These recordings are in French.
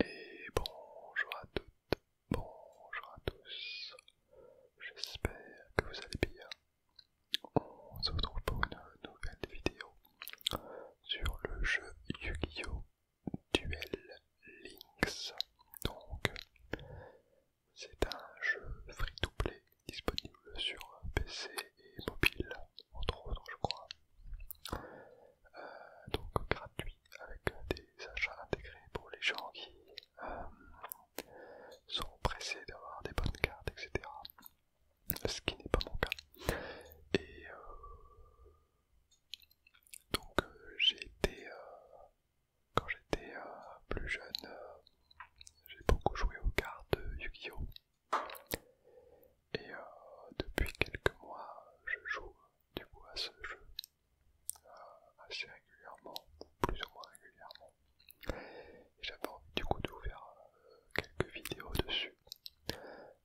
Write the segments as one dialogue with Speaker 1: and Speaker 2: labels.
Speaker 1: Et bonjour à toutes, bonjour à tous, j'espère que vous allez bien. On se retrouve pour une nouvelle vidéo sur le jeu Yu-Gi-Oh! Duel Links. Donc, c'est un jeu free to play disponible sur PC et mobile, entre autres, je crois. Euh, donc gratuit avec des achats intégrés pour les gens qui euh, sont pressés d'avoir des bonnes cartes, etc. Ce qui n'est pas mon cas. Et euh, donc j'ai été, quand j'étais plus jeune, j'ai beaucoup joué aux cartes Yu-Gi-Oh! Et euh, depuis quelques mois, je joue du coup à ce jeu euh, assez régulièrement, plus ou moins régulièrement. j'avais envie du coup de vous faire euh, quelques vidéos dessus.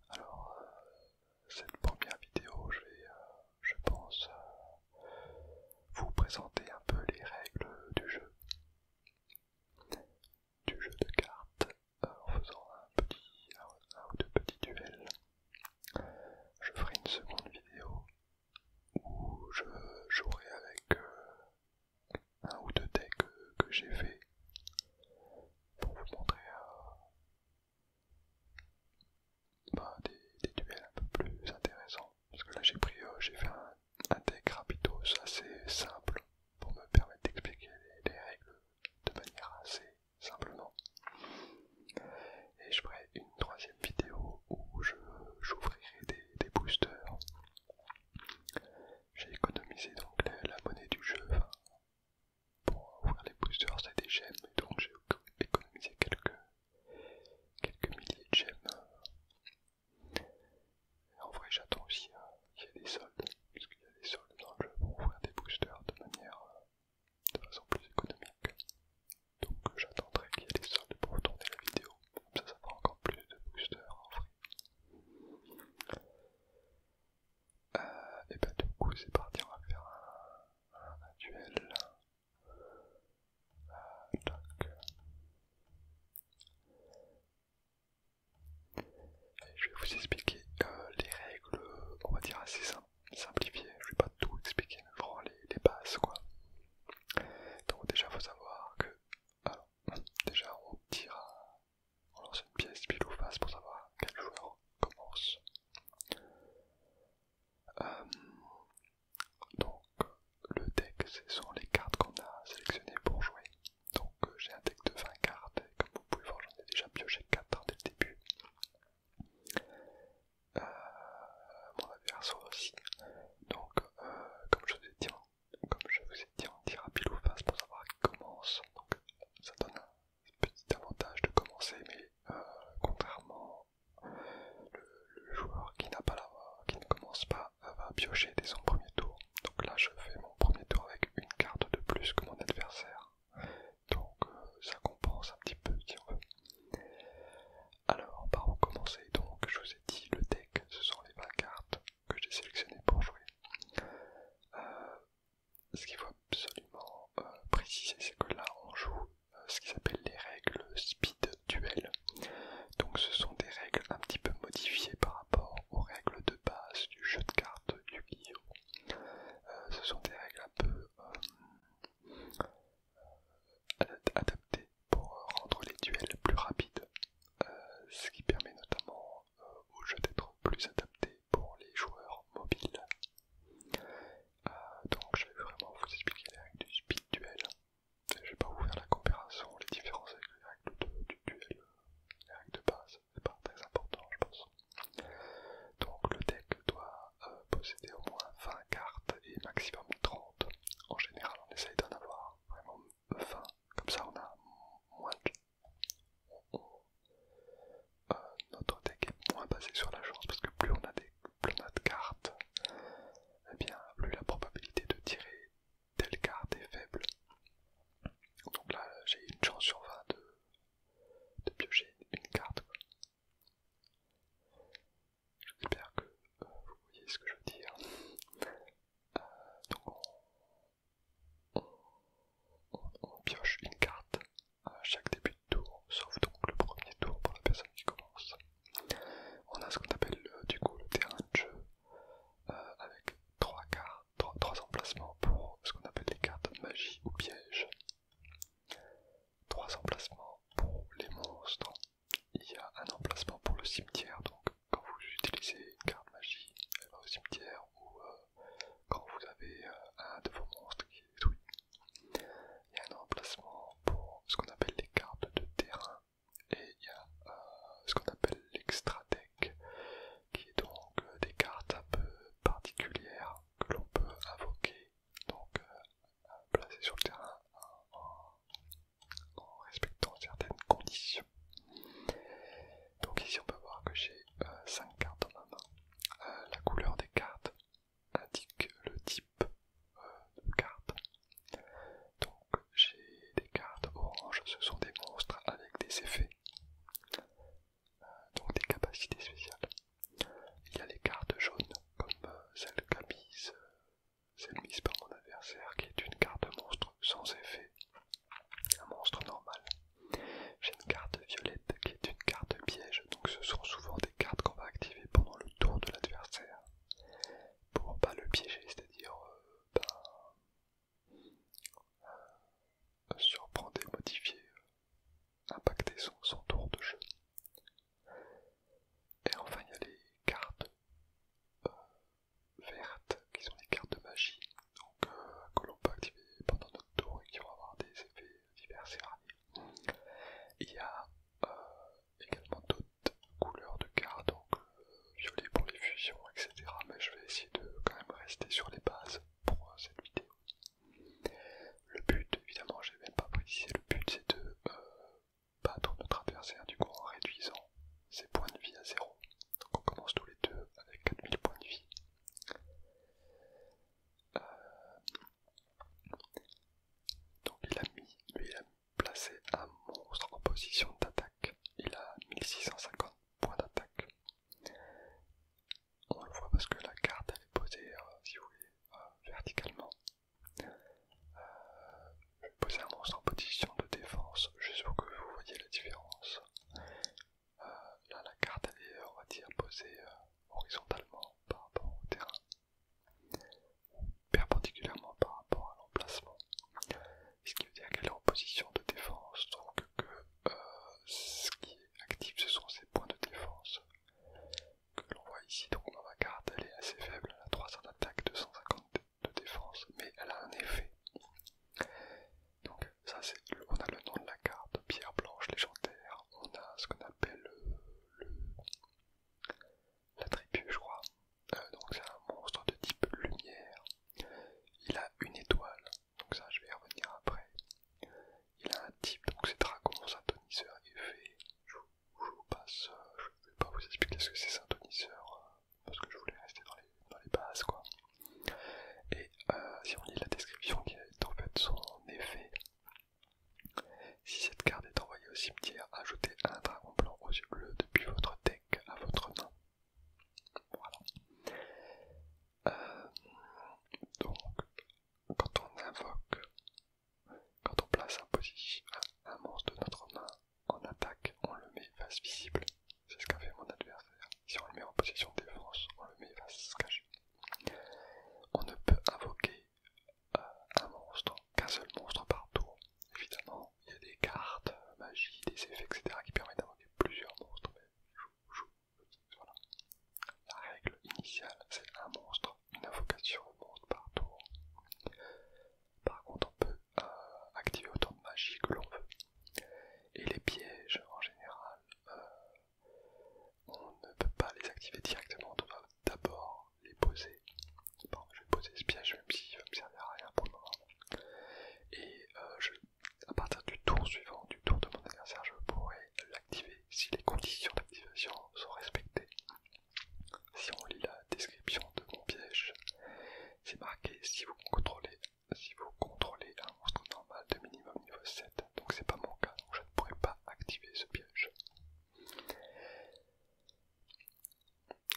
Speaker 1: Alors, cette première vidéo, je vais, je pense, vous présenter un peu les règles du jeu du jeu de cartes euh, en faisant un, petit, ou deux petits duels. Je ferai une seconde vidéo où je jouerai avec euh, un ou deux decks que j'ai fait pour vous montrer euh, bah, des, duels un peu plus intéressants. Parce que là j'ai pris, j'ai fait un, deck deck rapidos assez simple pour me permettre d'expliquer les règles de manière assez simplement. Et je ferai une troisième vidéo où j'ouvrirai des, boosters. J'ai économisé donc la, monnaie du jeu. pour ouvrir les boosters, c'est des gemmes, donc j'ai économisé quelques, quelques milliers de gemmes en vrai j'attends aussi euh, qu'il y ait des soldes, parce qu'il y a des soldes dans le jeu pour ouvrir des boosters de manière euh, de façon plus économique. Donc euh, j'attendrai qu'il y ait des soldes pour tourner la vidéo, comme ça ça fera encore plus de boosters en vrai. et bah du coup c'est parti, on va faire un, duel. donc, je vais vous expliquer euh, les règles, on va dire assez simplifiées. Je ne vais pas tout expliquer, mais vraiment les, bases quoi. Donc déjà faut savoir que, déjà on tire, on lance une pièce pile ou face pour savoir quel joueur commence. Euh, donc le deck, ce sont les cartes qu'on a sélectionnées pour jouer. Donc euh, j'ai un deck de 20 cartes, et comme vous pouvez voir j'en ai déjà pioché 4 dès le début. Euh, mon adversaire aussi. Donc euh, comme je vous ai dit, comme je vous on dira pile ou face pour savoir qui commence. Donc ça donne un petit avantage de commencer, mais contrairement le, joueur qui n'a pas la qui ne commence pas va piocher dès son premier tour donc là je fais mon premier tour avec une carte de plus que mon adversaire. Donc euh, ça compense un petit peu si on veut. Alors par où commencer donc je vous ai dit le deck, ce sont les 20 cartes que j'ai sélectionnées pour jouer. Euh, ce qu'il faut absolument euh, préciser c'est que là on joue ce qui s'appelle les règles speed duel. Donc ce sont des règles un petit peu modifiées par rapport aux règles de base du jeu de cartes du gi euh, ce sont des règles un peu euh, euh, adaptées pour rendre les duels plus rapides, ce qui permet notamment au jeu d'être plus adapté pour les joueurs mobiles. donc je vais vraiment vous expliquer les règles du speed duel. Je vais pas vous faire la comparaison, les différences avec les règles du duel, les règles de base c'est pas très important je pense. Donc le deck doit euh, posséder au moins 20 cartes et maximum 30. En général on essaye d'en avoir vraiment 20, comme ça on a moins de... Euh, notre deck est moins basé sur la chance parce que plus on a, des, plus de cartes, eh bien plus la probabilité de tirer telle carte est faible. Donc là, j'ai une chance sur 20 de, piocher une carte. J'espère que euh, vous voyez ce que je veux dire. Euh, donc on, pioche une carte à chaque début de tour, sauf donc le premier tour pour la personne qui commence. On a ce qu'on appelle euh, du coup le terrain de jeu avec trois cartes. Trois 3 emplacements pour ce qu'on appelle les cartes magie ou piège. 3 emplacements pour les monstres. Il y a un emplacement pour le cimetière, donc quand vous utilisez une carte magie, elle au cimetière ou euh, quand vous avez euh, un de vos monstres qui est détruit. Il y a un emplacement pour ce qu'on appelle les cartes de terrain et il y a euh, ce qu'on appelle l'extra deck qui est donc euh, des cartes un peu particulières que l'on peut invoquer, donc euh, placer sur le terrain en, respectant certaines conditions. Donc ici on peut voir que j'ai 5 euh, cartes en main. la couleur des cartes indique le type de carte. Donc j'ai des cartes orange, ce sont des monstres avec des effets donc des capacités spéciales. Il y a les cartes jaunes, comme euh, celle qu'a mise, euh, mise par mon adversaire, qui est une carte monstre sans effet, un monstre normal. J'ai une carte violette qui est une carte piège, donc ce sont souvent des cartes qu'on va activer pendant le tour de l'adversaire pour pas le piéger, c'est-à-dire euh, ben, surprendre et modifier, impacter son, tour de jeu. Et enfin, il y a les cartes euh, vertes qui sont les cartes de magie euh, que l'on peut activer pendant notre tour et qui vont avoir des effets divers et variés. Il y a euh, également d'autres couleurs de cartes, donc violet pour les fusions, etc. Mais je vais essayer de quand même rester sur les bases pour euh, cette vidéo. Le but, évidemment, je n'ai même pas précisé, le but c'est de euh, battre notre adversaire du coup en réduisant ses points de vie à zéro. Donc on commence tous les deux avec 4000 points de vie. Euh, donc il a mis, lui il a placé un monstre en position d'attaque. Il a 1650 points d'attaque. On le voit parce que la carte elle est posée, euh, euh, verticalement. Euh, je vais poser un monstre en position de défense, juste pour que vous voyez la différence. là, la carte elle est, posée horizontalement par rapport au terrain, perpendiculairement par rapport à l'emplacement ce qui veut dire qu'elle est en position de défense, donc que euh, ce qui est actif ce sont ses points de défense que l'on voit ici. Donc dans ma carte elle est assez faible, elle a 300 d'attaque, 250 de défense, mais elle a un effet. Donc ça c'est, on a le nom de la carte, pierre blanche légendaire, on a ce qu'on appelle le, la tribu je crois, euh, donc c'est un monstre de type lumière, il a une étoile, donc ça je vais y revenir après. Il a un type, donc c'est dragon, synthoniseur effet. Je vous, passe, je vais pas vous expliquer ce que c'est synthoniseur euh, parce que je voulais rester dans les, bases quoi. Et euh, si on lit la description qui est en fait son effet, si cette carte est envoyée au cimetière, ajoutez un dragon blanc aux yeux bleus depuis votre deck à votre main. Euh, donc, quand on invoque, quand on place un, monstre de notre main en attaque, on le met face visible. C'est ce qu'a fait mon adversaire. Si on le met en position de défense, on le met face cachée. On ne peut invoquer euh, un monstre qu'un seul monstre par tour. Évidemment, il y a des cartes, euh, magie, des effets, etc. qui permettent d'invoquer plusieurs monstres, la règle initiale, c'est un monstre, une invocation au monstre par tour. Par contre, on peut euh, activer autant de magie que l'on veut. Et les pièges, en général, euh, on ne peut pas les activer directement, on doit d'abord les poser. Bon, je vais poser ce piège, même s'il ne me servir à rien pour le moment. Euh, à partir du tour suivant, du tour de mon adversaire, je pourrais l'activer si les conditions d'activation sont respectées. Si on lit la description de mon piège, c'est marqué si vous contrôlez si vous contrôlez un monstre normal de minimum niveau 7, donc c'est pas mon cas, donc je ne pourrais pas activer ce piège.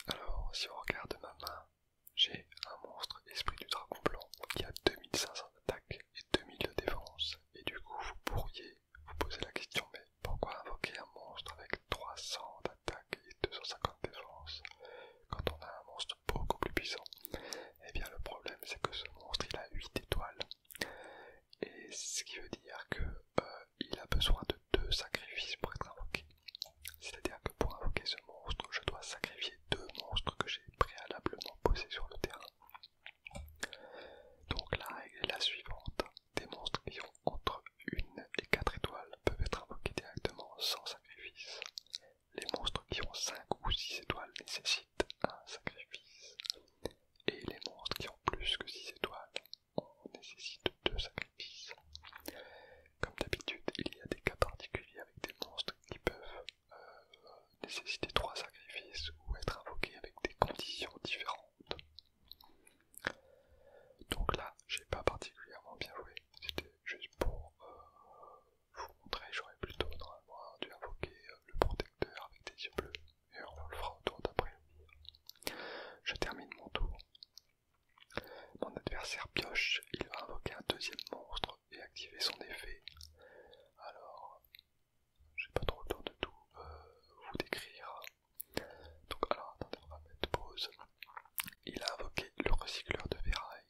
Speaker 1: Alors si on regarde ma main, j'ai un monstre esprit du dragon blanc qui a 2500 d'attaque et 2000 de défense. Et du coup, vous pourriez vous poser la question, mais pourquoi invoquer un monstre avec 300 d'attaque et 250 de défense quand on a un monstre beaucoup plus puissant et eh bien, le problème, c'est que ce monstre, il a 8 étoiles. Et ce qui veut dire que euh, il a besoin de deux sacrifices pour être invoqué. C'est-à-dire que pour invoquer ce monstre, je dois sacrifier deux monstres que j'ai préalablement posés sur le terrain. Donc la règle est la suivante. Des monstres qui ont entre 1 et 4 étoiles peuvent être invoqués directement sans sacrifice. Les monstres qui ont 5 ou 6 étoiles nécessitent un sacrifice. Et les monstres qui ont plus que 6 étoiles nécessitent 2 sacrifices. Comme d'habitude, il y a des cas particuliers avec des monstres qui peuvent euh, nécessiter trois sacrifices ou être invoqué avec des conditions différentes. Donc là, j'ai pas particulièrement bien joué, c'était juste pour euh, vous montrer, j'aurais plutôt normalement dû invoquer euh, le protecteur avec des yeux bleus, et on le fera au tour d'après. Je termine mon tour. Mon adversaire pioche, il va invoquer un deuxième monstre et activer son effet. Alors, j'ai pas trop le temps de tout euh, vous décrire. Donc, alors attendez, on va mettre pause. Il a invoqué le recycleur de ferraille.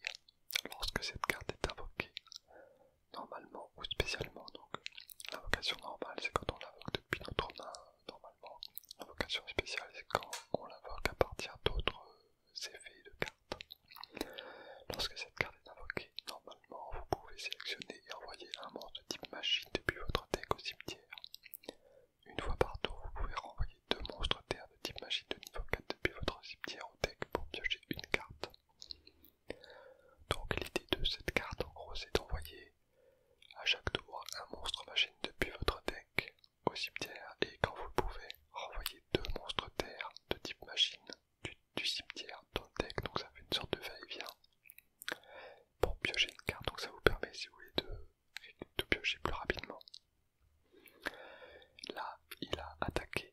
Speaker 1: Lorsque cette carte est invoquée, normalement ou spécialement, donc l'invocation normale c'est quand on l'invoque depuis notre main, normalement. L'invocation spéciale c'est quand on l'invoque à partir d'autres de cartes. Lorsque cette carte est invoquée, normalement vous pouvez sélectionner et envoyer un monstre de type machine depuis votre deck au cimetière. Une fois par tour, vous pouvez renvoyer deux monstres terre de type machine de niveau 4 depuis votre cimetière au deck pour piocher une carte. Donc l'idée de cette carte en gros c'est d'envoyer à chaque tour un monstre machine depuis votre deck au cimetière et quand vous pouvez renvoyer deux monstres terre de type machine du, cimetière dans le deck, donc ça fait une sorte de va-et-vient pour piocher une carte, donc ça vous permet si vous voulez de, piocher plus rapidement. Là, il a attaqué,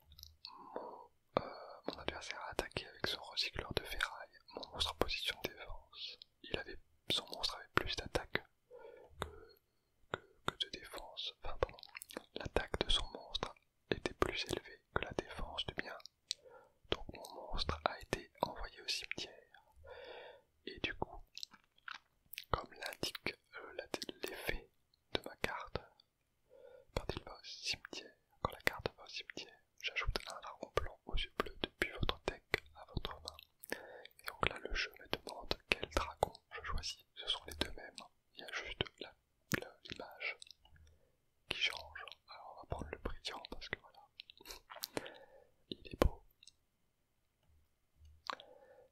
Speaker 1: euh, mon, adversaire a attaqué avec son recycleur de ferraille, mon monstre en position défense. Il avait, son monstre avait plus d'attaque que que, de défense, enfin pardon, l'attaque de son monstre était plus élevée que la défense du bien Donc mon monstre a été envoyé au cimetière. Et du coup, comme l'indique euh, l'effet de ma carte, quand cimetière, quand la carte va au cimetière, j'ajoute un dragon blanc aux yeux bleus depuis votre deck à votre main. Et donc là, le jeu me demande quel dragon je choisis. Ce sont les deux mêmes. Il y a juste la l'image qui change. Alors on va prendre le brillant parce que voilà, il est beau.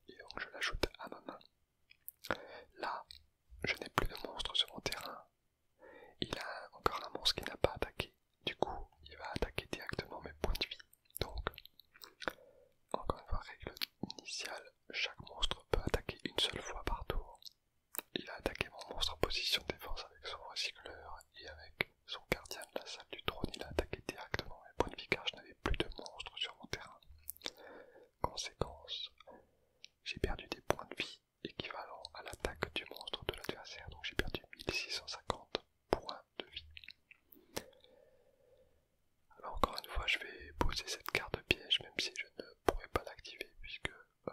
Speaker 1: Et donc je l'ajoute à ma main. Là, je n'ai plus de monstre sur mon terrain. Il a encore un monstre qui n'a pas attaqué. Du coup, il va attaquer directement mes points de vie. Donc, encore une fois, règle initiale chaque monstre peut attaquer une seule fois par tour. Il a attaqué mon monstre en position défense avec son recycleur et avec son gardien de la salle du trône, il a attaqué directement mes points de vie car je n'avais plus de monstres sur mon terrain. Conséquence, j'ai perdu des points de vie équivalents à l'attaque du monstre de l'adversaire, donc j'ai perdu 1650 points de vie. Alors encore une fois, je vais poser cette carte piège, même si je ne pourrais pas l'activer, puisque... Euh,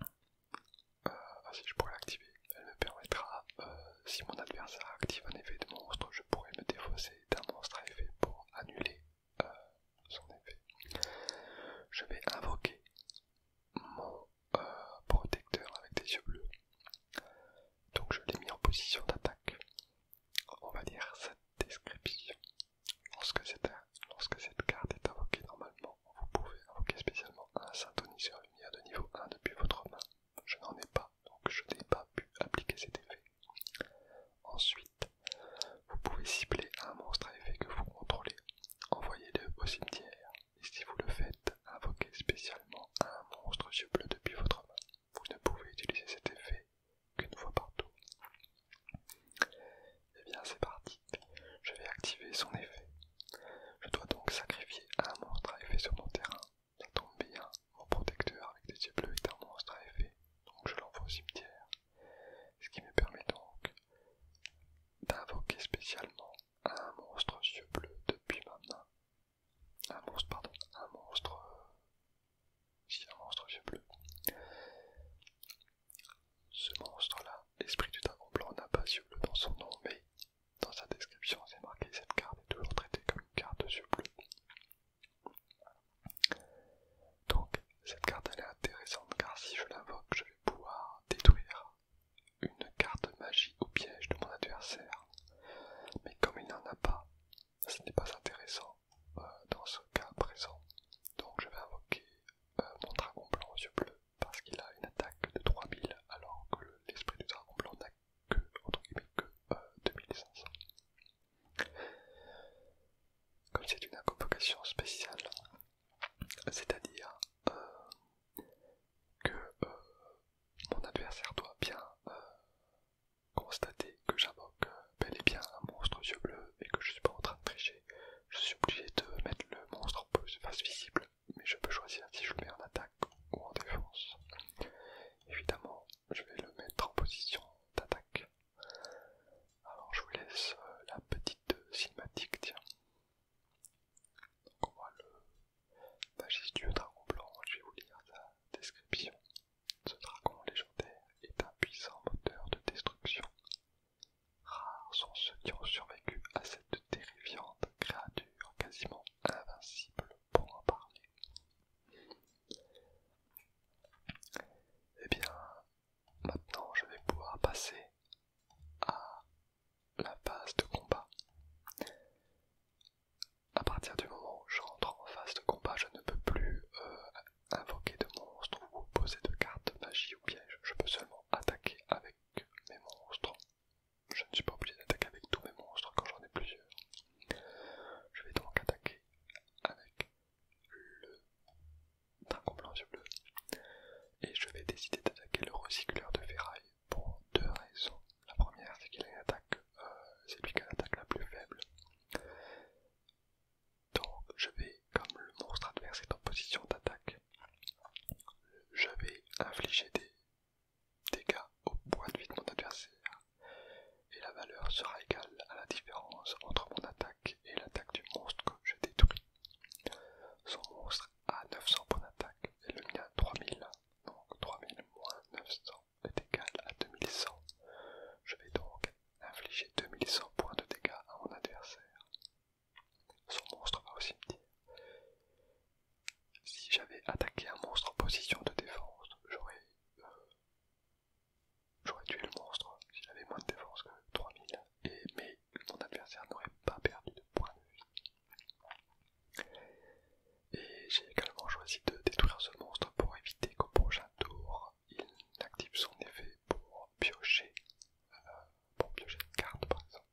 Speaker 1: euh, ah, si, je pourrais l'activer. Elle me permettra, euh, si mon adversaire active un effet de monstre, je pourrais me défausser d'un monstre à effet pour annuler son effet. Je vais invoquer mon protecteur avec des yeux bleus. Donc je l'ai mis en position d'attaque on va dire cette description. Lorsque cette, carte est invoquée normalement, vous pouvez invoquer spécialement un synthoniseur lumière de niveau 1 depuis votre main. Je n'en ai pas, donc je n'ai pas pu appliquer cet effet. Ensuite, vous pouvez cibler un monstre à effet que vous contrôlez. Envoyez-le au cimetière. Et si vous le faites, invoquez spécialement un monstre yeux bleus depuis votre main. Vous ne pouvez utiliser cet effet qu'une fois partout. Et Eh bien, c'est parti. Je vais activer son effet. Je dois donc sacrifier un monstre à effet sur mon terrain. Ça tombe bien, mon protecteur avec des yeux bleus est un monstre à effet, donc je l'envoie au cimetière. Ce qui me permet donc d'invoquer spécialement un monstre yeux bleus depuis ma main. Un monstre, pardon, un monstre euh, si un monstre yeux bleus. Ce monstre-là, l'esprit du dragon blanc n'a pas yeux bleus dans son nom, mais dans sa description, c'est marqué cette carte est toujours traitée comme une carte de yeux bleus. Donc, cette carte elle est intéressante car si je l'invoque, je vais pouvoir détruire une carte magie au piège de mon adversaire. Mais comme il n'en a pas, ce n'est pas intéressant euh, dans ce cas présent. Donc je vais invoquer euh, mon dragon blanc aux yeux bleus parce qu'il a une attaque de 3000 alors que l'esprit du dragon blanc n'a que, que 2500. Euh, Comme c'est une invocation spéciale, c'est-à-dire que mon adversaire doit bien constater que j'invoque euh, bel et bien un monstre aux yeux bleus et que je suis pas en train de tricher. Je suis obligé de mettre le monstre en face visible, mais je peux choisir si je le mets en attaque ou en défense. Évidemment, je vais le mettre en position d'attaque. Alors je vous laisse euh, la petite euh, cinématique, tiens. on voit le magicien du dragon blanc, je vais vous lire sa description. Ce dragon légendaire est un puissant moteur de destruction. Rares sont ceux qui ont survécu à cette terrifiante créature quasiment invincible pour en parler. Et eh bien, maintenant je vais pouvoir passer à la phase de combat à partir du moment où je rentre en phase de combat, je ne peux plus euh, invoquer de monstres ou poser de cartes magie ou piège. Je peux seulement attaquer avec mes monstres. Je ne suis pas obligé d'attaquer avec tous mes monstres quand j'en ai plusieurs. Je vais donc attaquer avec le dragon blanc bleu. Et je vais décider d'attaquer le recycleur de ferraille pour deux raisons. La première, c'est qu'il a attaque, euh, c'est lui qui a l'attaque la plus faible. Donc je vais, comme le monstre adversaire est en position d'attaque, je vais infliger des dégâts au point de vie de mon adversaire et la valeur sera égale à la différence entre mon attaque et l'attaque du monstre que je détruis. Son monstre a 900 points d'attaque et le mien 3000, donc 3000 moins 900 le égal à 2100. Je vais donc infliger 2100 points de dégâts à mon adversaire. Son monstre va aussi me dire Si j'avais attaqué un monstre en position de défense, j'aurais euh, tué le monstre s'il avait moins de défense que 3000, et, mais mon adversaire n'aurait pas perdu de points de vie. Et j'ai également choisi de détruire ce monstre pour éviter qu'au prochain tour, il active son effet pour piocher, euh, pour piocher une carte par exemple.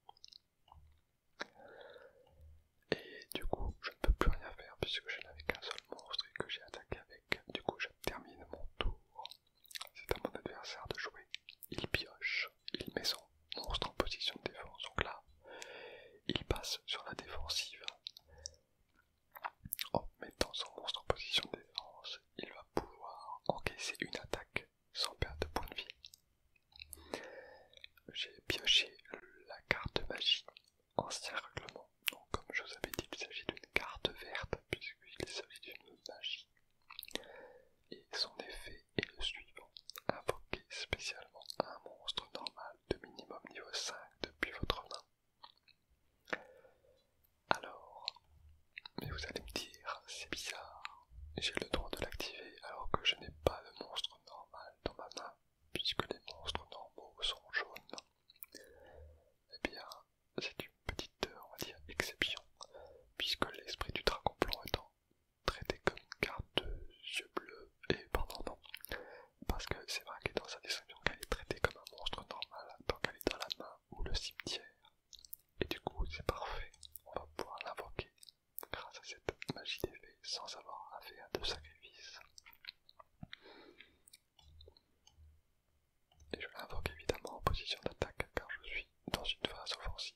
Speaker 1: Et du coup, je ne peux plus rien faire puisque je n'avais qu'un seul monstre et que j'ai attaqué avec. Du coup, je termine mon tour. C'est à mon adversaire de jouer. Il pioche, il met son monstre en position de défense. Donc là, il passe sur la défensive. En oh, mettant son monstre en position de défense, il va pouvoir encaisser une attaque sans perdre de points de vie. J'ai pioché la carte magie, ancien règlement. Donc, comme je vous avais dit, il s'agit d'une carte verte, puisqu'il s'agit d'une magie. Et son effet est le suivant invoquer spécialement un monstre normal de minimum niveau 5 depuis votre main. Alors, mais vous allez me dire, c'est bizarre, j'ai le droit de l'activer alors que je n'ai pas le monstre normal dans ma main, puisque les monstres normaux sont jaunes. Eh bien, c'est une petite, dire, exception, puisque l'esprit du dragon blanc étant traité comme une carte de yeux bleus, et pardon, parce que c'est vrai que dans sa description qu'elle est traitée comme un monstre normal donc qu'elle est dans la main ou le cimetière. Et du coup c'est parfait, on va pouvoir l'invoquer grâce à cette magie d'effet sans avoir à faire de sacrifice. Et je l'invoque évidemment en position d'attaque car je suis dans une phase offensive.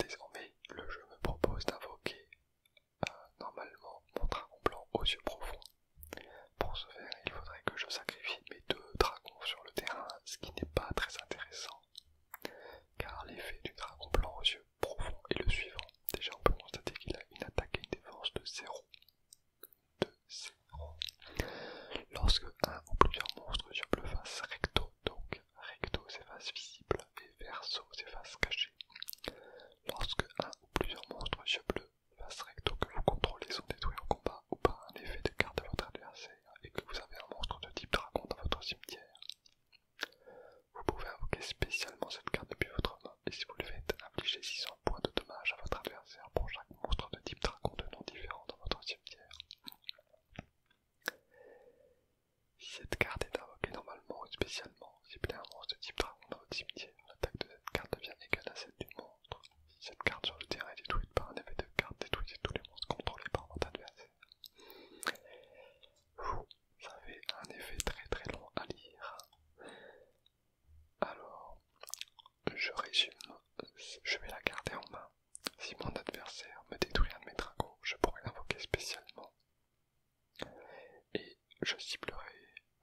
Speaker 1: Désormais, le jeu me propose d'invoquer euh, normalement mon dragon blanc aux yeux profonds. Pour ce faire, il faudrait que je sacrifie mes deux dragons sur le terrain, ce qui n'est pas très intéressant. Car l'effet du dragon blanc aux yeux profonds est le suivant. Déjà, on peut constater qu'il a une attaque et une défense de 0. De zéro. Lorsque un ou plusieurs monstres sur le face recto, donc recto c'est face visible et verso c'est face cachée, Lorsque un ou plusieurs monstres aux yeux bleus, face recto que vous contrôlez sont détruits au combat ou par un effet de carte de votre adversaire et que vous avez un monstre de type dragon dans votre cimetière, vous pouvez invoquer spécialement cette carte depuis votre main et si vous le faites, infligez 600 points de dommage à votre adversaire pour chaque monstre de type dragon de nom différent dans votre cimetière. Si cette carte est invoquée normalement ou spécialement, monstre de type dragon dans votre cimetière, l'attaque de cette carte devient égale à celle du monstre. Si cette carte sur le terrain est détruite par un effet de carte, détruisez tous les monstres contrôlés par votre adversaire. Vous ça un effet très très long à lire. Alors, je résume, je vais la garder en main. Si mon adversaire me détruit un de mes dragons, je pourrais l'invoquer spécialement et je ciblerai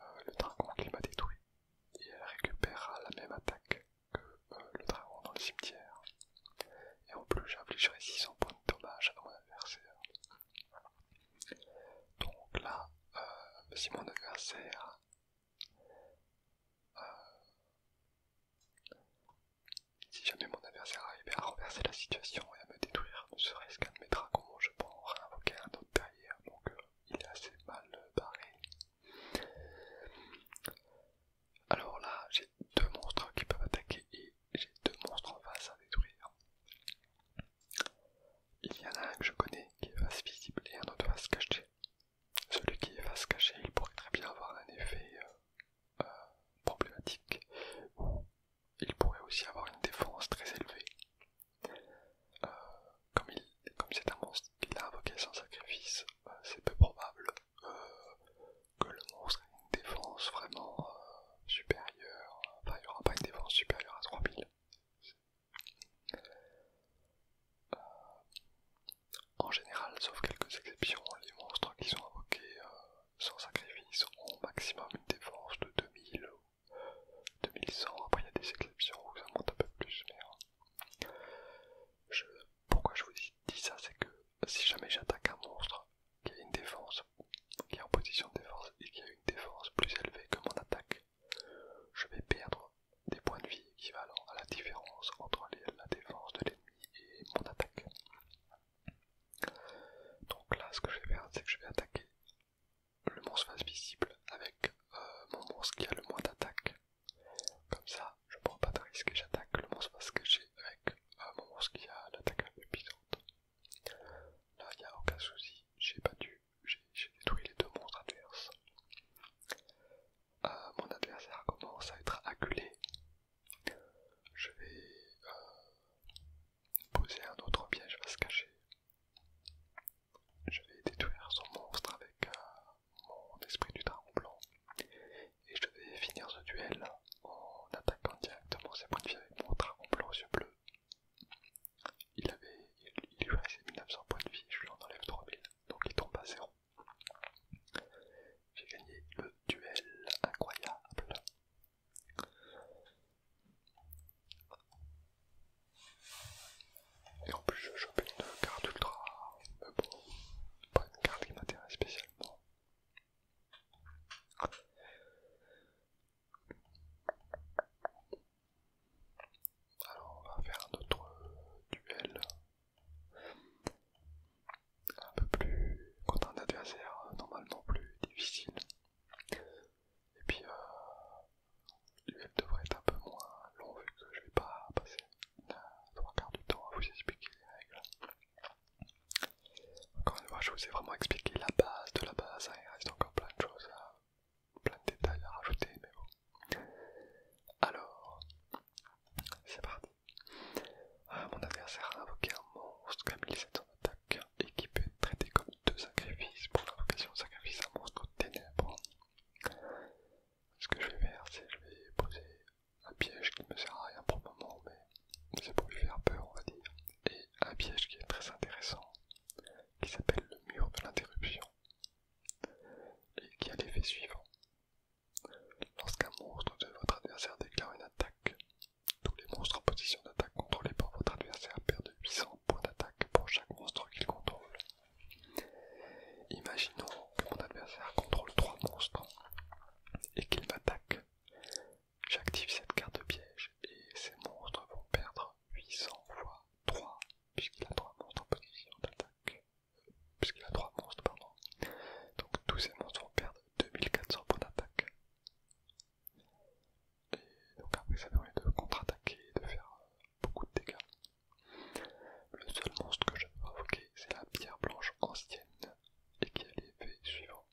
Speaker 1: euh, le dragon qui m'a détruit et elle récupérera la même attaque que euh, le dragon dans le cimetière et en plus j'infligerai 600 points de dommage à mon adversaire donc là euh, si mon adversaire si jamais mon adversaire arrivait à renverser la situation et à me détruire ne serait-ce qu'un de mes dragons je pourrais invoquer un autre donc euh, il est assez mal euh, barré. Alors là, j'ai deux monstres qui peuvent attaquer et j'ai deux monstres en face à détruire. Il y en a un que je connais qui est face visible et un autre face cachée. Celui qui est face cachée, il pourrait très bien avoir un effet euh, problématique ou problématique. Il pourrait aussi avoir une défense très élevée, euh, comme c'est un monstre qu'il a invoqué sans sacrifice, euh, c'est peu probable euh, que le monstre ait une défense vraiment supérieure. Enfin, il n'y aura pas une défense supérieure à 3000. en général, sauf quelques exceptions, les monstres qui sont invoqués sans sacrifice ont au maximum une défense de 2000 2100, après il y a des exceptions où ça monte un peu plus, mais hein. pourquoi je vous dis, ça, c'est que si jamais j'attaque un monstre qui a une défense, qui est en position de défense et qui a une défense plus élevée que mon attaque, je vais perdre des points de vie équivalents à la différence entre la défense de l'ennemi et mon attaque. Donc là, ce que je vais faire, c'est que je vais attaquer le monstre face visible avec euh, mon monstre qui a le moins d'attaque. Comme ça, je prends pas de risque et j'attaque le monstre face caché avec euh, mon monstre qui a l'attaque puissante. Là, il n'y a aucun souci, j'ai battu, j'ai détruit les deux monstres adverses. Euh, mon adversaire commence à être acculé. Je vais poser un autre piège à se cacher. Je vais détruire son monstre avec euh, mon esprit du dragon blanc et je vais finir ce duel en attaquant directement ses points de vie avec mon dragon blanc aux yeux bleus. Il, avait, il, lui reste 1900 points de vie, je lui en enlève 3000, donc il tombe à zéro. J'ai gagné le duel incroyable. Et en plus je chope une carte ultra pas une carte qui m'intéresse spécialement. Alors on va faire un autre duel un peu plus contre un adversaire normalement plus difficile et puis euh, devrait être un peu moins long vu que je vais pas passer trois quarts du temps à vous expliquer les règles. Encore une fois, je vous ai vraiment expliqué la base de la base, hein. il reste encore plein de choses, plein de détails à rajouter, mais bon. Alors, c'est parti. Ah, mon adversaire a invoqué un monstre, comme il son attaque, équipé et qui peut être traité comme deux sacrifices pour la sacrifice à monstre ténèbre. Ce que je vais faire, c'est je vais poser un piège qui ne me sert à rien pour le moment, mais c'est pour lui faire peur, on va dire, et un piège qui est très intéressant, qui s'appelle le mur de l'interruption, et qui a l'effet suivant. Lorsqu'un monstre de votre adversaire déclare une attaque, tous les monstres en position d'attaque contrôlés par votre adversaire perdent 800 d'attaque pour chaque monstre qu'il contrôle. Imaginons que mon adversaire contrôle 3 monstres et qu'il m'attaque. J'active cette carte de piège et ces monstres vont perdre 800 fois 3 puisqu'il a 3 monstres en position d'attaque. Puisqu'il a monstres, pardon. Donc tous ces monstres vont perdre 2400 points d'attaque. Et donc après ça permet de contre-attaquer et de faire euh, beaucoup de dégâts. Le seul monstre que je peux invoquer, c'est la pierre blanche ancienne et qui a l'effet suivant.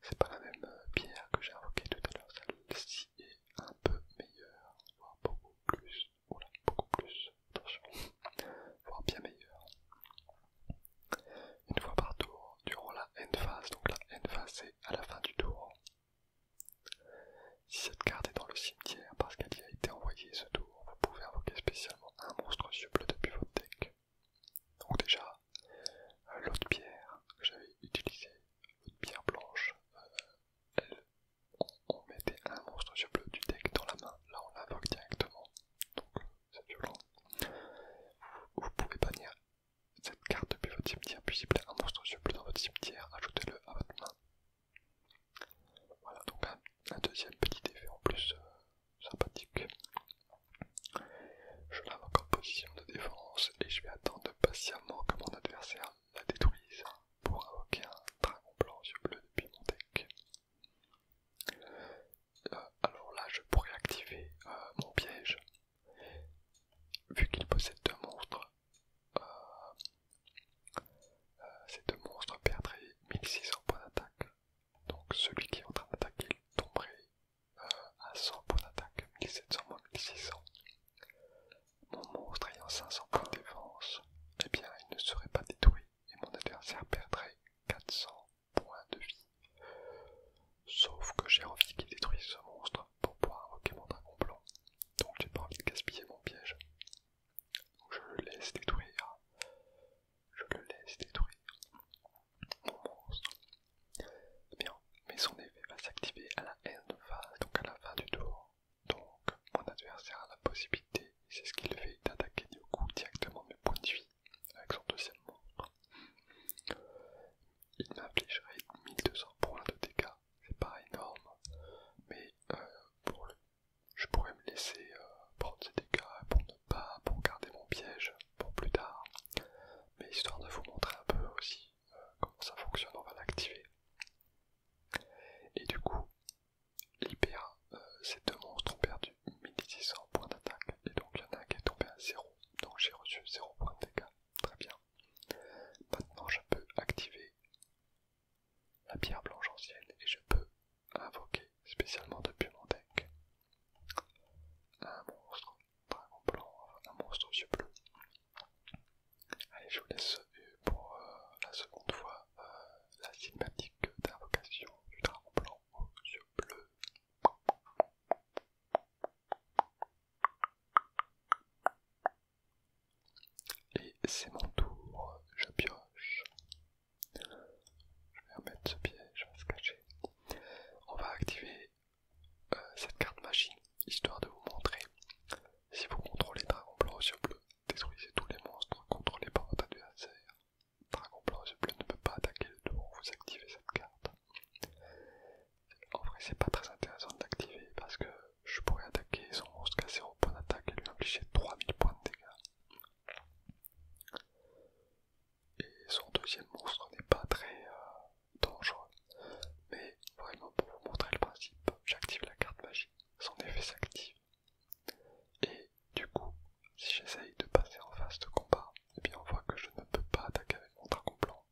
Speaker 1: C'est pas la même euh, pierre que j'ai invoqué tout à l'heure, celle-ci est un peu meilleure, voire beaucoup plus, oula, beaucoup plus, attention, voire bien meilleure. Une fois par tour, durant la N phase, donc la N phase c'est à la fin du tour, si cette carte est dans le cimetière parce qu'elle y a été envoyée ce tour, vous pouvez invoquer spécialement un monstre yeux bleu depuis votre deck. Donc déjà, euh, l'autre pierre que j'avais utilisée, l'autre pierre blanche, euh, on, mettait un monstre yeux bleu du deck dans la main, là on l'invoque directement, donc euh, c'est violent. Vous, pouvez bannir cette carte depuis votre cimetière puis vous un monstre plus dans votre cimetière, ajoutez-le à votre main. Voilà donc un, deuxième petit effet en plus euh, sympathique. Je l'invoque en position de défense et je vais attendre patiemment que mon adversaire la détruise pour invoquer un dragon blanc sur bleu depuis mon deck. Euh, alors là je pourrais activer euh, mon piège vu qu'il possède deux monstres, euh, euh, ces deux monstres perdraient 1600 points d'attaque. Donc celui qui est en train d'attaquer tomberait euh, à 100 points d'attaque, 1700 moins 1600. Mon monstre ayant 500 points de défense, eh bien il ne serait pas détruit et mon adversaire perdrait 400 points de vie. Sauf que j'ai envie qu'il détruise ce monstre pour pouvoir invoquer mon dragon blanc. Donc j'ai pas envie de gaspiller mon piège. je le laisse détruire. Je le laisse détruire. Mon monstre. mais son effet va s'activer à la de phase, donc à la fin du tour. Donc mon adversaire a la possibilité, c'est ce qu'il fait, d'attaquer du coup directement mes points de vie avec son deuxième monstre il m'infligerait 1200 points de dégâts, c'est pas énorme, mais euh, pour je pourrais me laisser euh, prendre ces dégâts pour ne pas, pour garder mon piège pour plus tard, mais histoire de vous montrer un peu aussi euh, comment ça fonctionne, on va l'activer. Et du coup, l'IPA, ces deux monstres ont perdu 1600 points d'attaque, et donc il y en a un qui est tombé à 0, donc j'ai reçu 0 points de dégâts, très bien. Maintenant, je peux activer la pierre blanche ancienne et je peux invoquer spécialement depuis mon deck un monstre blanc, un monstre aux yeux bleus. Allez, je vous laisse euh, pour euh, la seconde fois euh, la cinématique d'invocation du dragon blanc aux yeux bleus. Et c'est mon tour, je pioche. Je vais remettre ce piège, on va se cacher. On va activer euh, cette carte machine, histoire de vous montrer. Si vous contrôlez Dragon Blanc aux yeux détruisez tous les monstres contrôlés par votre adversaire. Dragon Blanc aux yeux bleus ne peut pas attaquer le tour, vous activez cette carte. En vrai, c'est pas très intéressant de l'activer parce que je pourrais attaquer son monstre a 0 point d'attaque et lui infliger 3000 points de dégâts. Et son deuxième monstre n'est pas très euh, dangereux. Mais vraiment, pour vous montrer le principe, j'active la carte magie, son effet s'active. Et du coup, si j'essaye de passer en phase de combat, et eh bien on voit que je ne peux pas attaquer avec mon dragon blanc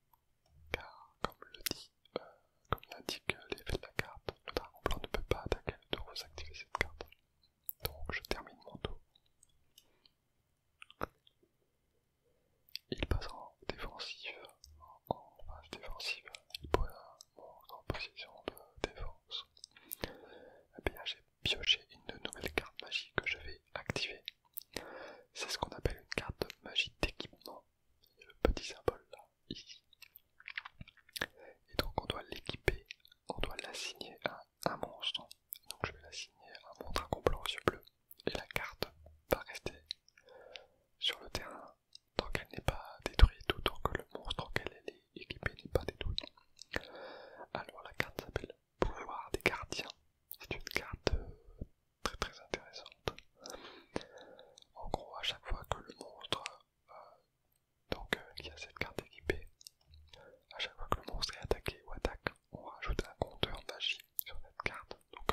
Speaker 1: car comme le dit, que euh, l'indique euh, l'effet de la carte, le dragon blanc ne peut pas attaquer de vous activer cette carte. Donc je termine mon tour. Il passe en défensive, en, phase défensive, il pose mon en position de défense. Et bien j'ai pioché une nouvelle carte magique que je vais c'est ce qu'on appelle une carte magie d'équipement. le petit symbole là, Et donc on doit l'équiper, on doit l'assigner à un monstre. Donc je vais l'assigner à mon à complot aux yeux bleus. Et la carte va rester sur le terrain tant qu'elle n'est pas détruite ou tant que le monstre auquel elle est équipée n'est pas détruit. Alors la carte s'appelle Pouvoir des gardiens. C'est une carte euh, très très intéressante. En gros, à chaque fois que le monstre, euh, donc euh, cette carte équipée, à chaque fois que monstre est attaqué ou attaque, on rajoute un compteur magique sur cette carte, donc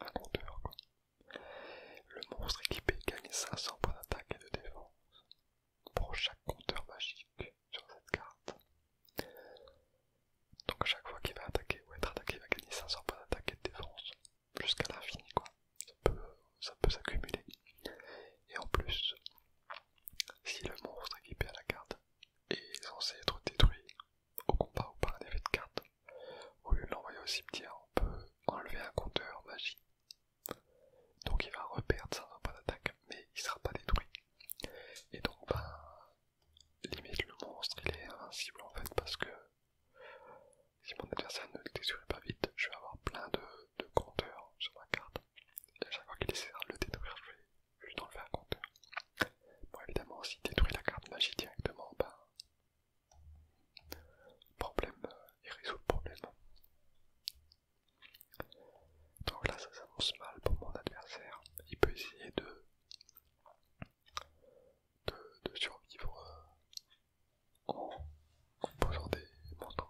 Speaker 1: un compteur. Quoi. Le monstre équipé gagne 500 points d'attaque et de défense pour chaque compteur magique sur cette carte. Donc à chaque fois qu'il va attaquer ou être attaqué, il va gagner 500 points d'attaque et de défense jusqu'à l'infini quoi. Ça peut, ça peut s'accumuler. Et en plus, si le monstre équipé à la carte est censé être détruit au combat ou par un effet de carte, au lieu de l'envoyer au cimetière, on peut enlever un compteur magie. Donc il va reperdre 500 points d'attaque, mais il sera pas détruit. Et donc ben, limite le monstre il est invincible en fait parce que si mon adversaire ne le détruit pas vite, je vais avoir plein de, compteurs sur ma carte. Et à chaque fois qu'il essaiera de le détruire, je vais, je enlever un compteur. Bon évidemment s'il détruit la carte magie directement, ben problème, euh, il résout le problème. Donc là ça s'annonce mal pour mon adversaire. Il peut essayer de de, survivre euh, en, posant des montants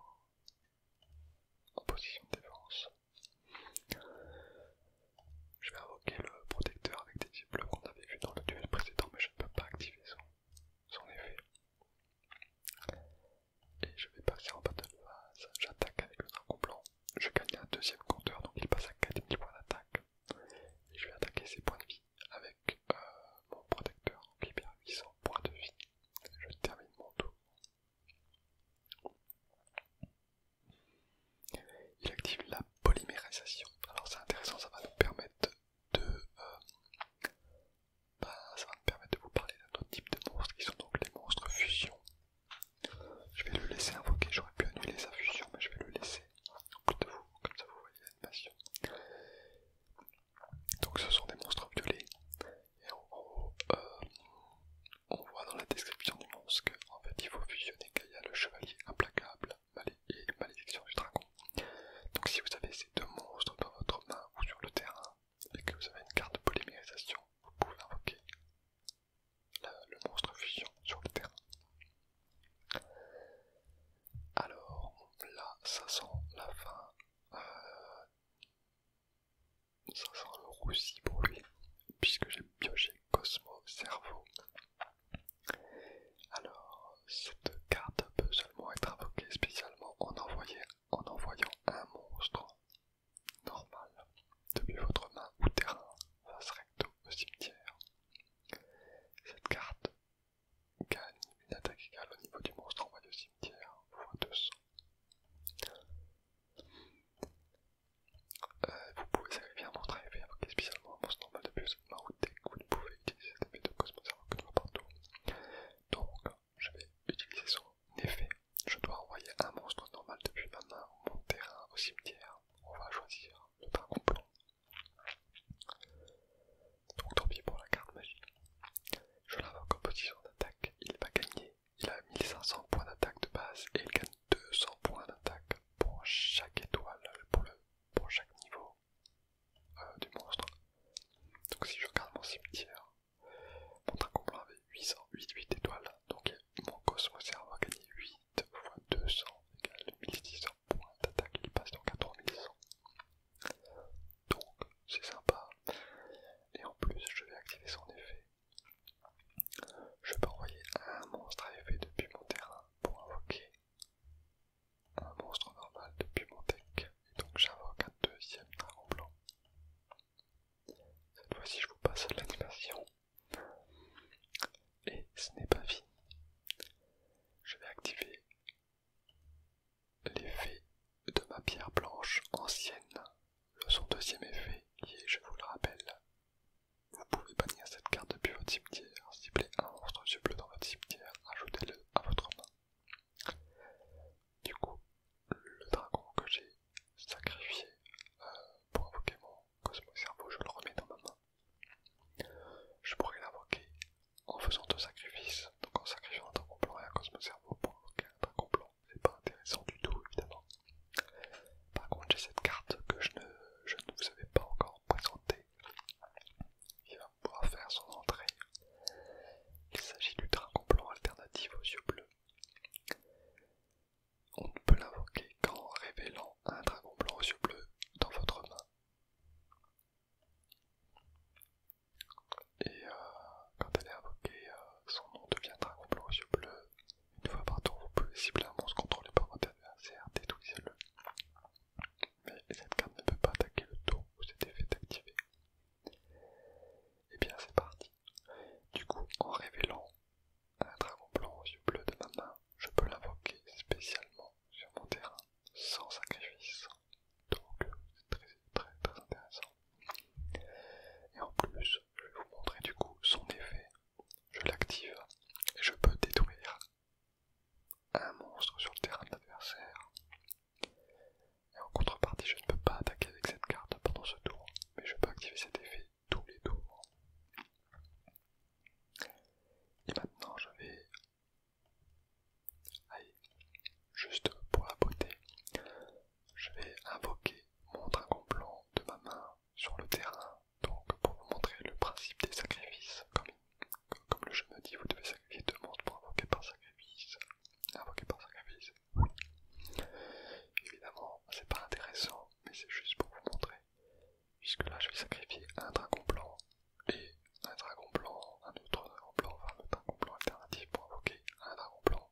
Speaker 1: en position de défense. Je vais invoquer le protecteur avec des yeux bleus qu'on avait vu dans le duel précédent, mais je ne peux pas activer son, effet. Et je vais passer en bas de base, j'attaque avec le dragon blanc je gagne un deuxième compteur, donc il passe à 4000 points d'attaque. Et je vais attaquer ses points de vie avec euh, mon protecteur, qui il perd 800 points de vie. Je termine mon tour. Il active la polymérisation. Alors c'est intéressant, ça va nous permettre de... Euh, bah, permettre de vous parler d'un autre type de monstres qui sont donc les monstres fusion. Je vais le laisser invoquer, j'aurais pu annuler sa fusion, mais je vais le laisser vous, comme ça vous voyez l'animation. Donc ce sont des monstres violets, et en euh, on voit dans la description du monstre qu'en fait il faut fusionner a le chevalier implacable et malédiction du dragon. Donc si vous avez ces deux monstres dans votre main ou sur le terrain, et que vous avez une carte de polymérisation, vous pouvez invoquer le monstre fusion sur le terrain. Alors là, ça sent la fin. Euh, ça sent le roussi pour puisque j'ai pioché Cosmo Cerveau. Alors, cette carte peut seulement être invoquée spécialement en, en envoyant un monstre normal depuis votre main ou terrain serait au cimetière. Cette carte gagne une attaque égale au niveau du monstre envoyé au cimetière, x 200. Euh, vous pouvez servir un monstre spécialement un monstre normal depuis ma route ou vous ne pouvez utiliser cet effet de Cosmos que Donc, je vais utiliser son effet. Je dois envoyer un monstre normal depuis ma main mon terrain au cimetière. On va choisir le dragon blanc. Donc tant pis pour la carte magique. Je l'invoque en position d'attaque, il va gagner. Il a 1500 points d'attaque de base et il gagne 200 points d'attaque pour chaque étoile, pour, pour chaque niveau euh, du monstre. Donc si je regarde mon cimetière, mon dragon avait 808 étoiles, donc mon cosmos serveur à gagné 8 2 fois 200 égale 1600 points d'attaque, il passe donc à 3100. Donc c'est sympa. Et en plus, je vais activer son effet. Je peux envoyer un monstre à effet depuis mon terrain pour invoquer un monstre normal depuis mon deck. Et donc j'invoque un deuxième dragon blanc. Cette fois-ci, je vous passe l'animation. Et ce n'est pas fini. Je vais activer l'effet de ma pierre blanche ancienne, le son deuxième effet, qui est, je vous le rappelle, vous pouvez bannir cette carte depuis votre cimetière, cibler un monstre bleu dans votre cimetière, ajoutez-le à votre main. Du coup, le dragon que j'ai sacrifié euh, pour invoquer mon Cosmo Cerveau, je le remets dans ma main. Je pourrais l'invoquer en faisant deux sacrifices, donc en sacrifiant un dragon blanc et un cosmo-cerveau pour invoquer un dragon C'est pas intéressant du tout, évidemment. Par contre, j'ai cette carte que je ne, ne vous avais pas encore présentée. Il va pouvoir faire son entrée. Il s'agit du dragon blanc alternatif aux yeux bleus. On ne peut l'invoquer qu'en révélant un dragon blanc aux yeux bleus dans votre main. Et euh, quand elle est invoquée, euh, son nom devient dragon blanc aux yeux bleus. Une fois par tour, vous pouvez cibler un monstre contrôlé par votre adversaire, détruisez-le. Mais cette carte ne peut pas attaquer le tour où cet effet est activé. Et eh bien c'est parti. Du coup, en révélant un dragon blanc aux yeux bleus de ma main, je peux l'invoquer spécialement sur mon terrain, sans sacrifice. Donc c'est très, très intéressant. Et en plus, je vais vous montrer du coup son effet. Je l'active et je peux détruire un monstre sur le terrain de l'adversaire. Et en contrepartie, je ne peux pas attaquer avec cette carte pendant ce tour, mais je peux activer cet effet tous les tours. Et maintenant je vais... juste pour la beauté, je vais invoquer mon dragon blanc de ma main sur le terrain, donc pour vous montrer le principe des sacrifices. Comme, le jeu me dit, vous devez sacrifier deux monstres pour invoquer par sacrifice. Invoquer par sacrifice, Évidemment, c'est pas intéressant, mais c'est juste pour vous montrer Puisque là, je vais sacrifier un dragon blanc et un dragon blanc, un autre dragon blanc, enfin le dragon blanc alternatif pour invoquer un dragon blanc.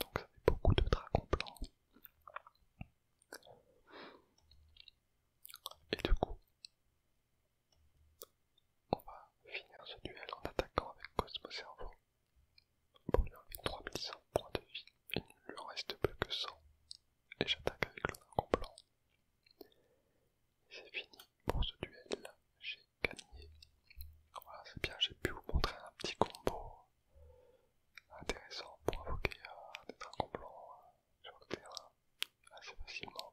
Speaker 1: Donc ça fait beaucoup de dragons blancs. Et du coup, on va finir ce duel en attaquant avec Cosmo Cerveau. Pour lui enlever 3100 points de vie, il ne lui en reste plus que 100 et j'attaque avec le dragon blanc. C'est fini pour ce duel, j'ai gagné. Voilà, c'est bien, j'ai pu vous montrer un petit combo intéressant pour invoquer un des dragons euh, sur le terrain assez facilement.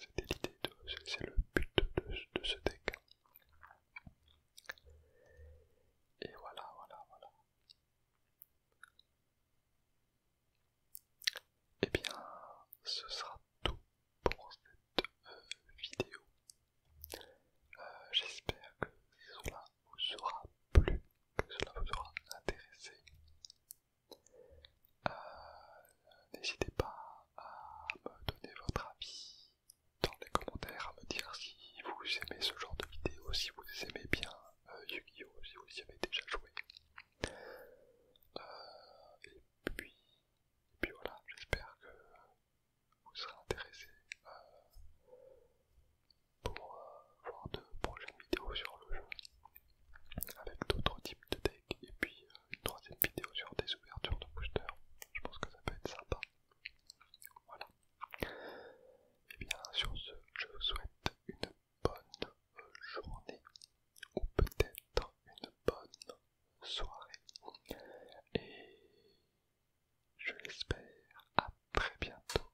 Speaker 1: C'était l'idée c'est le but de ce deck. Et voilà, voilà, voilà. Et eh bien, ce sera tout pour cette euh, vidéo. Euh, j'espère que cela vous aura plu, que cela vous aura intéressé. Euh, n'hésitez pas à me donner votre avis dans les commentaires, à me dire si vous aimez ce genre de vidéo, si vous aimez bien euh, Yu-Gi-Oh! vous déjà joué. Euh, et, puis, puis voilà, j'espère que vous serez intéressés euh, pour voir de prochaines vidéos sur le jeu avec d'autres types de decks et puis une troisième vidéo sur des ouvertures de booster Je pense que ça peut être sympa. Voilà. Et eh bien sur ce, je vous souhaite une bonne journée ou peut-être une bonne soirée. Et je l'espère à très bientôt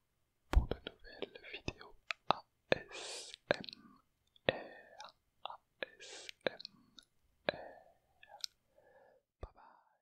Speaker 1: pour de nouvelles vidéos ASMR. ASMR. Bye bye.